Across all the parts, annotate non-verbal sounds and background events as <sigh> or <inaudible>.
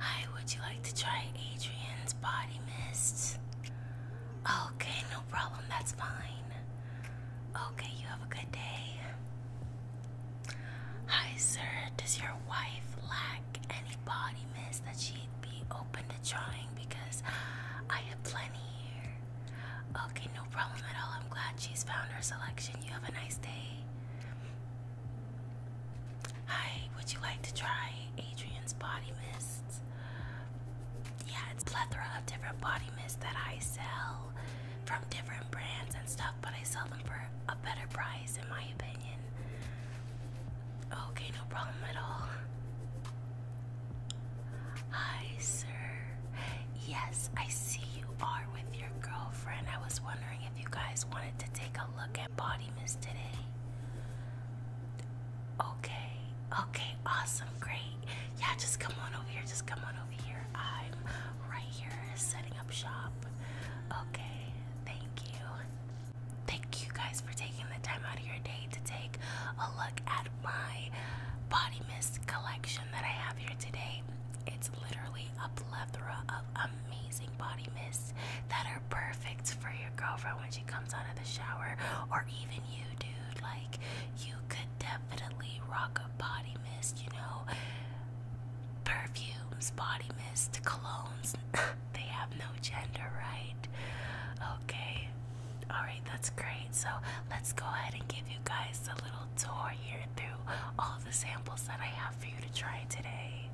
Hi, would you like to try Adrian's body mist? Okay, no problem, that's fine. Okay, you have a good day. Hi, sir, does your wife lack any body mist that she'd be open to trying? Because I have plenty here. Okay, no problem at all. I'm glad she's found her selection. You have a nice day. Hi, would you like to try Adrian's body mists? Yeah, it's plethora of different body mists that I sell from different brands and stuff, but I sell them for a better price, in my opinion. Okay, no problem at all. Hi, sir. Yes, I see you are with your girlfriend. I was wondering if you guys wanted to take look at body mist today? Okay, okay, awesome, great. Yeah, just come on over here, just come on over here. I'm right here setting up shop. Okay, thank you. Thank you guys for taking the time out of your day to take a look at my body mist collection that I have here today. It's literally a plethora of amazing body mists that are perfect for your girlfriend when she comes out of the shower, or even you, dude. Like, you could definitely rock a body mist, you know? Perfumes, body mist, colognes, <laughs> they have no gender, right? Okay, alright, that's great. So, let's go ahead and give you guys a little little tour here through all the samples that I have for you to try today.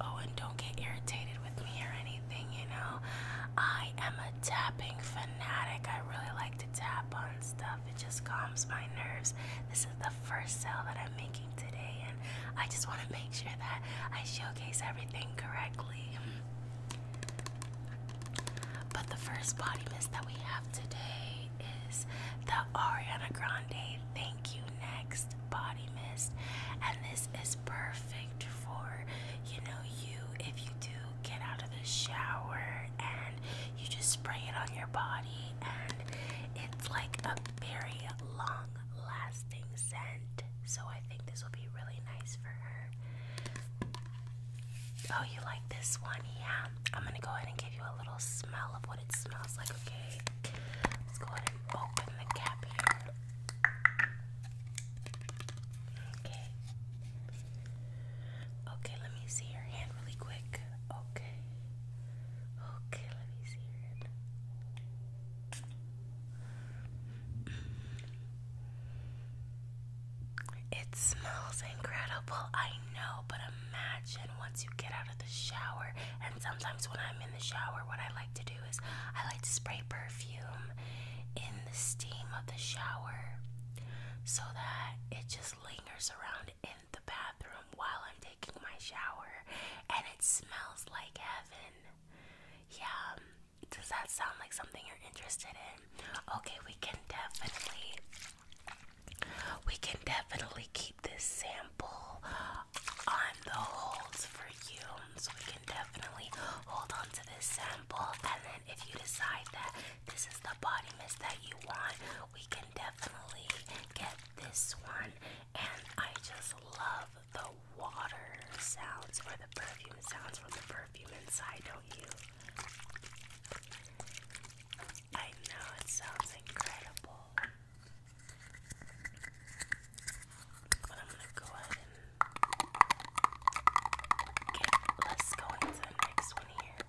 Oh, and don't get irritated with me or anything, you know. I am a tapping fanatic. I really like to tap on stuff, it just calms my nerves. This is the first sale that I'm making today, and I just want to make sure that I showcase every but the first body mist that we have today is the Ariana Grande Thank You Next Body Mist. And this is perfect for, you know, you if you do get out of the shower and you just spray it on your body and it's like a very long lasting scent. So I this will be really nice for her. Oh, you like this one? Yeah. I'm gonna go ahead and give you a little smell of what it smells like, okay? Let's go ahead and open the cap here. Okay. Okay, let me see your hand really quick. Okay. Okay, let me see your hand. It smells incredible, I know, but imagine once you get out of the shower. And sometimes when I'm in the shower, what I like to do is I like to spray perfume in the steam of the shower so that it just lingers around in the bathroom while I'm taking my shower and it smells like heaven. Yeah, um, does that sound like something you're interested in? Okay, we can definitely we can definitely keep this sample on the holds for you. So we can definitely hold on to this sample and then if you decide that this is the body mist that you want, we can definitely get this one and I just love the water sounds or the perfume sounds from the perfume inside, don't you? I know it sounds incredible. But I'm gonna go ahead and let's go into the next one here.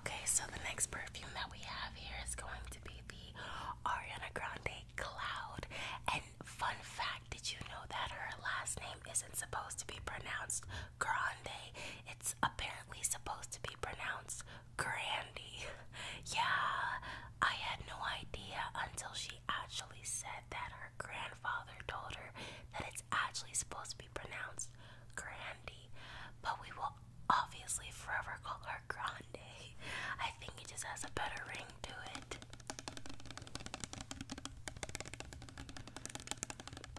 Okay, so the next perfume that we have here is going to be the Ariana Grande Cloud. And fun fact, did you know that her last name isn't supposed to be pronounced Grande? It's apparently supposed to be pronounced Grandy. <laughs> yeah, I had no idea until she actually said that her grandfather told her that it's actually supposed to be pronounced Grandy but we will obviously forever call her Grande. I think it just has a better ring to it.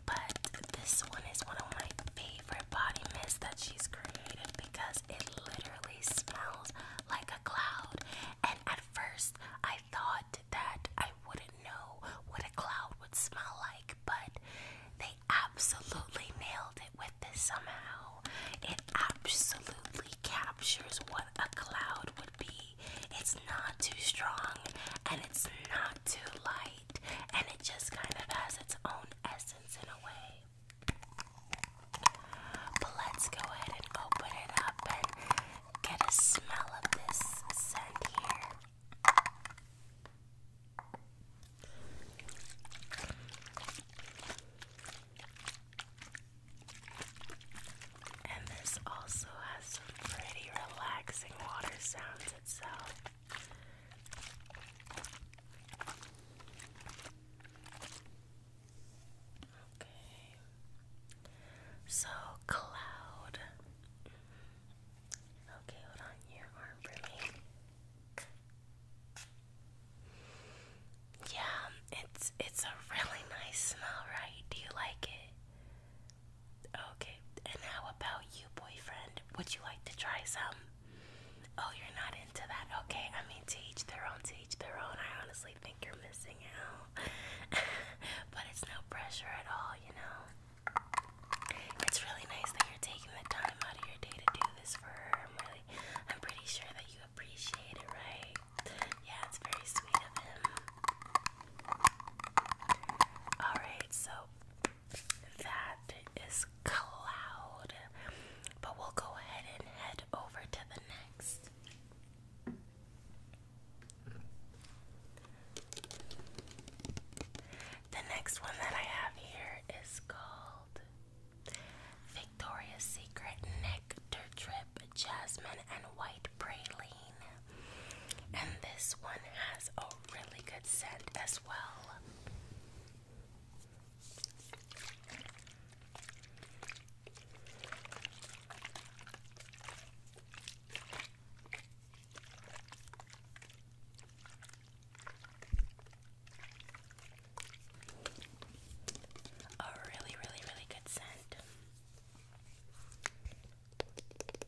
But this one is one of my favorite body mists that she's created because it literally smells like a cloud. And at first, I thought that I wouldn't know what a cloud would smell like, but they absolutely nailed it with this somehow. It absolutely captures what a cloud would be. It's not too strong and it's not too light, and it just kind of has its own essence in a way. But let's go ahead and open it up and get a smell of this scent here. And this also has some pretty relaxing water sounds itself. Okay. So, cloud. Okay, hold on your arm for me. Yeah, it's it's a really nice smell, right? Do you like it? Okay, and how about you, boyfriend? Would you like to try some? Oh, you're not into that. Okay, I mean teach their own, teach their own. I honestly think you're missing out. <laughs> but it's no pressure at all, you know. It's really nice that you're taking the time out of your day to do this for her. I'm really, I'm pretty sure that you appreciate it, right? Yeah, it's very sweet of him. Alright, so that is Cloud. But we'll go ahead and head over to the next. The next one that I have here is called Victoria's Secret Nectar Drip Jasmine and White Praline. And this one has a really good scent as well. A really, really, really good scent.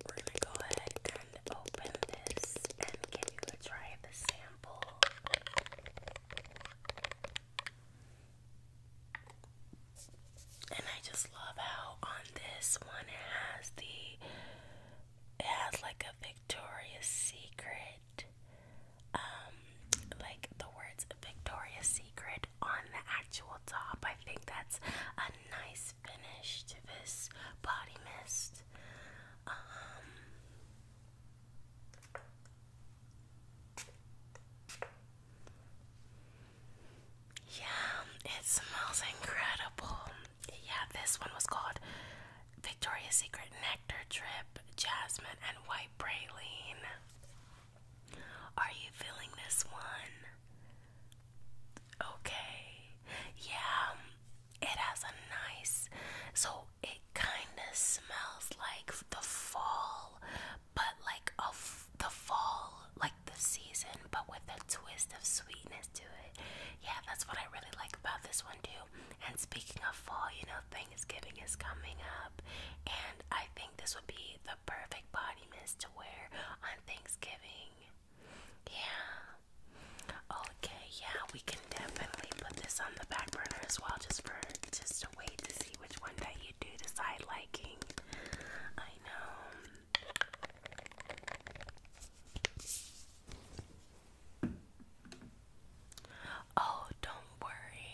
We're gonna go ahead and open this and give you a try of the sample. And I just love how on this one it has the it has like a Victoria's Secret um like the words Victoria's Secret on the actual top. I think that's a nice finish to this body mist. Um, yeah, it smells incredible. Yeah, this one was called Victoria's Secret Nectar Trip Jasmine, and White Praline. Are you feeling this one? Okay. Yeah, it has a nice. So it kind of smells like the fall, but like a the fall, like the season, but with a twist of sweetness to it. Yeah, that's what I really like about this one too. And speaking of fall, you know, Thanksgiving is coming up, and I think this would be the perfect body mist to wear on Thanksgiving. Yeah. Okay, yeah, we can definitely put this on the back burner as well, just for just to wait to see which one that you do decide liking. I know. Oh, don't worry.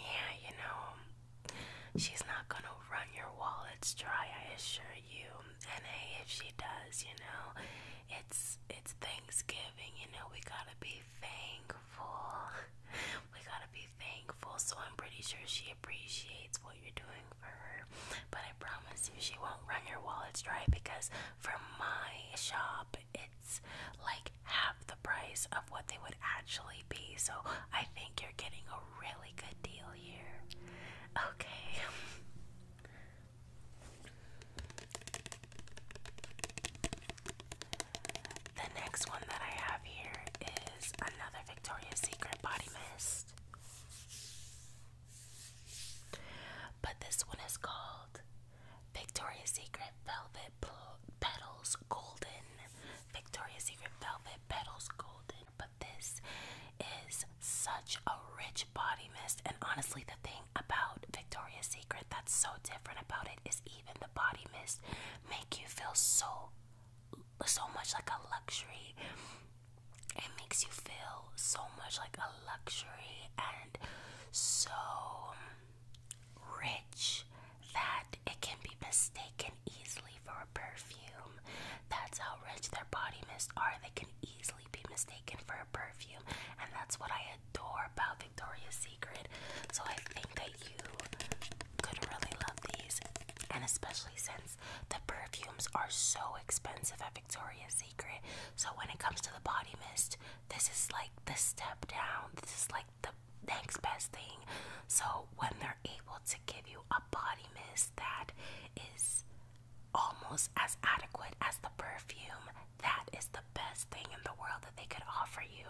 Yeah, you know, she's not gonna run your wallets dry, I assure you. And hey, if she does, you know, it's it's Thanksgiving, you know, we gotta be thankful. <laughs> We gotta be thankful, so I'm pretty sure she appreciates what you're doing for her. But I promise you, she won't run your wallets dry because for my shop, it's like half the price of what they would actually be. So I think you're getting a really good deal here. Okay. The next one that I have here is another Victoria's Secret body mist. But this one is called Victoria's Secret Velvet Petals Golden. Victoria's Secret Velvet Petals Golden. But this is such a rich body mist. And honestly, the thing about Victoria's Secret that's so different about it is even the body mist make you feel so so much like a luxury. It makes you feel so much like a luxury and so rich that it can be mistaken easily for a perfume. That's how rich their body mists are. They can easily be mistaken for a perfume, and that's what I adore about Victoria's Secret. So I think they you could really love these, and especially since the perfumes are so expensive at Victoria's Secret. So, when it comes to the body mist, this is like the step down, this is like the next best thing. So, when they're able to give you a body mist that is almost as adequate as the perfume, that is the best thing in the world that they could offer you.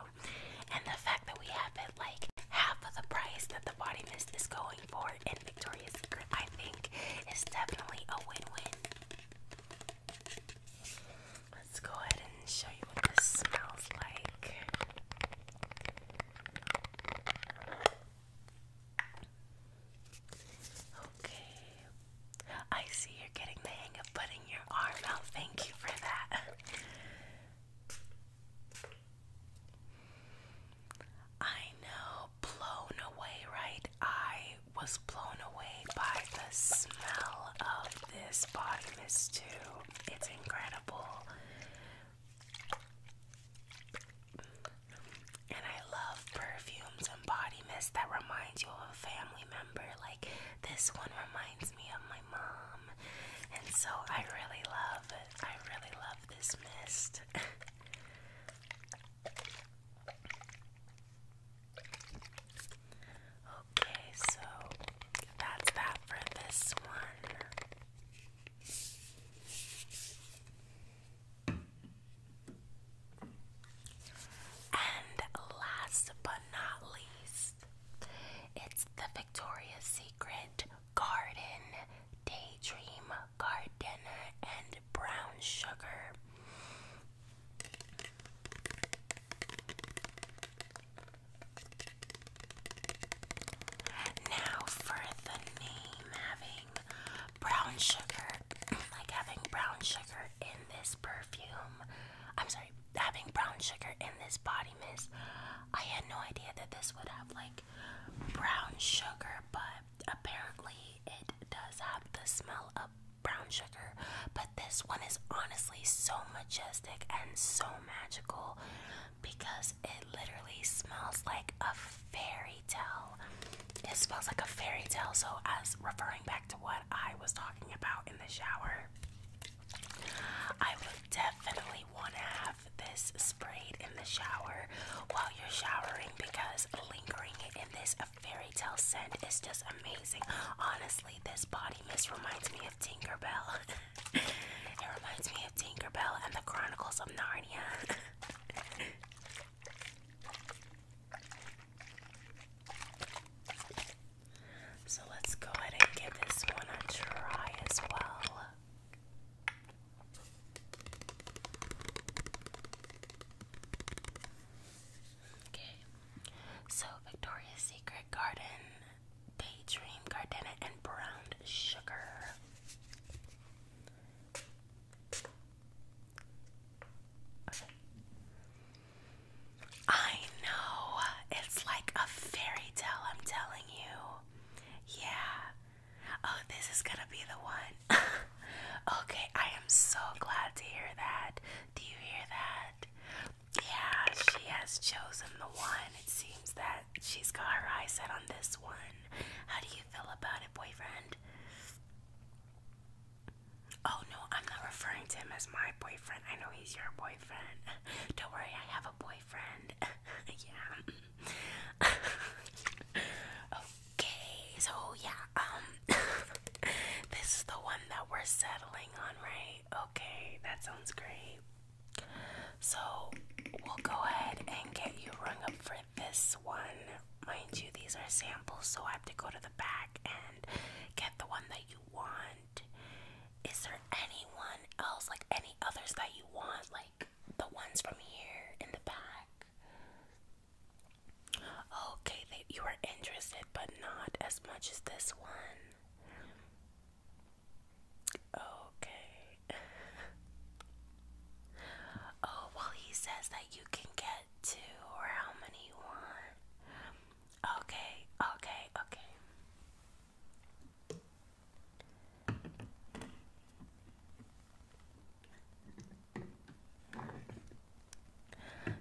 And the fact that we have it like half of the price that the body mist is going for in Victoria's Secret, I think, is definitely a win-win. Let's go ahead and show you what this smells like. Okay. I see you're getting the hang of putting your arm out. Thank you for that. I know, blown away, right? I was blown away by the smell of this body mist, too. It's incredible. And I love perfumes and body mist that reminds you of a family member. Like, this one reminds me of my mom. Um, and so I really love I really love this mist. okay, so that's that for this one. And last but not least, it's the Victoria's Secret Secret Garden, Daydream Garden, and Brown Sugar. Now for the name having brown sugar, <clears throat> like having brown sugar in this perfume. I'm sorry, having brown sugar in this body mist. I had no idea that this would have like brown sugar, but apparently it does have the smell of brown sugar. But this one is honestly so majestic and so magical because it literally smells like a fairy tale. It smells like a fairy tale, so as referring back to what I was talking about in the shower, I would definitely want to have this sprayed in the shower while you're showering because lingering in this fairy tale scent is just amazing. Honestly, this body mist reminds me of Tinkerbell. <laughs> it reminds me of Tinkerbell and the Chronicles of Narnia. <laughs> So let's go ahead and give this one a try as well. Okay, so Victoria's Secret Garden, Daydream Gardenia, and Brown Sugar. I know. It's like a fairy tale, I'm telling you. Yeah. Oh, this is gonna be the one. <laughs> okay, I am so glad to hear that. Do you hear that? Yeah, she has chosen the one. It seems that she's got her eyes set on this one. How do you feel about it, boyfriend? Oh no, I'm not referring to him as my boyfriend. I know he's your boyfriend. Don't worry, I have a boyfriend. <laughs> yeah. okay, so yeah, um, <laughs> this is the one that we're settling on, right? Okay, that sounds great. So we'll go ahead and get you rung up for this one. Mind you, these are samples, so I have to go to the back and get the one that you want is there anyone else, like any others that you want, like the ones from here in the back? Okay, that you are interested, but not as much as this one. Okay. <laughs> oh, well, he says that you can get two or how many you want. Okay, okay, okay.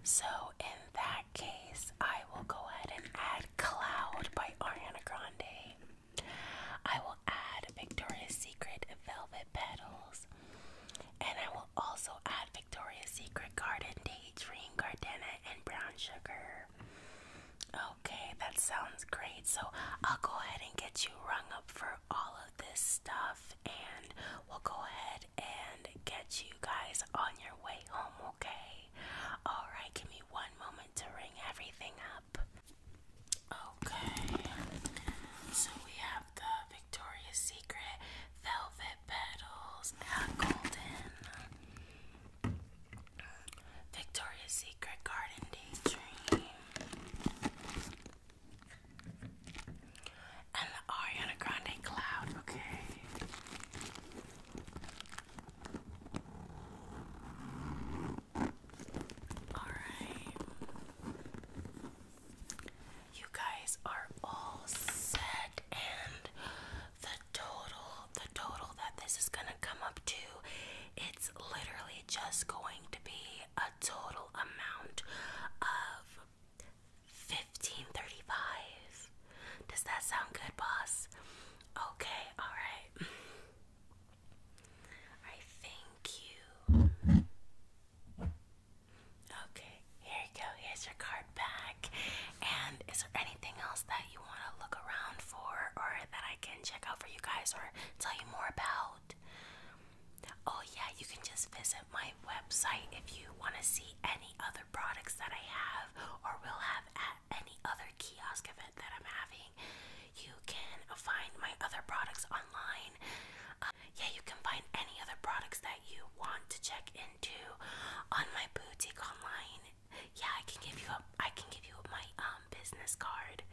So, in that case, I will go ahead and add Cloud by Ariana Grande. I will add Victoria's Secret Velvet Petals. And I will also add Victoria's Secret garden dates, green gardenia, and brown sugar. Okay, that sounds great. So I'll go ahead and get you rung up for all of this stuff, and we'll go ahead and get you guys on your way home, okay? Alright, give me one moment to ring everything up. Okay, so we have the Victoria's Secret Velvet Petals, not golden. Victoria's Secret Garden Daydream. And the Ariana Grande Cloud, okay. Alright. You guys are all set and the total, the total that this is gonna come up to, it's literally just going to be a total amount of fifteen thirty-five. Does that sound good, boss? Okay, alright. I thank you. Okay, here you go, here's your card back. And is there anything else that you want to look around for or that I can check out for you guys or tell you more about? Oh, yeah, you can just visit my website if you want to see any other products that I have or will have at any other kiosk event that I'm having. You can find my other products online. Uh, yeah, you can find any other products that you want to check into on my boutique online. Yeah, I can give you a I can give you my um business card.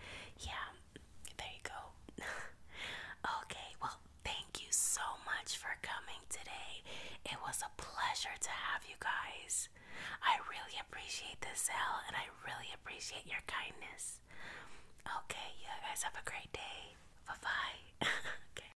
Yeah, there you go. <laughs> okay, well thank you so much for coming today. It was a pleasure to have you guys. I really appreciate this sale and I really appreciate your kindness. Okay, you guys have a great day. Bye bye. <laughs>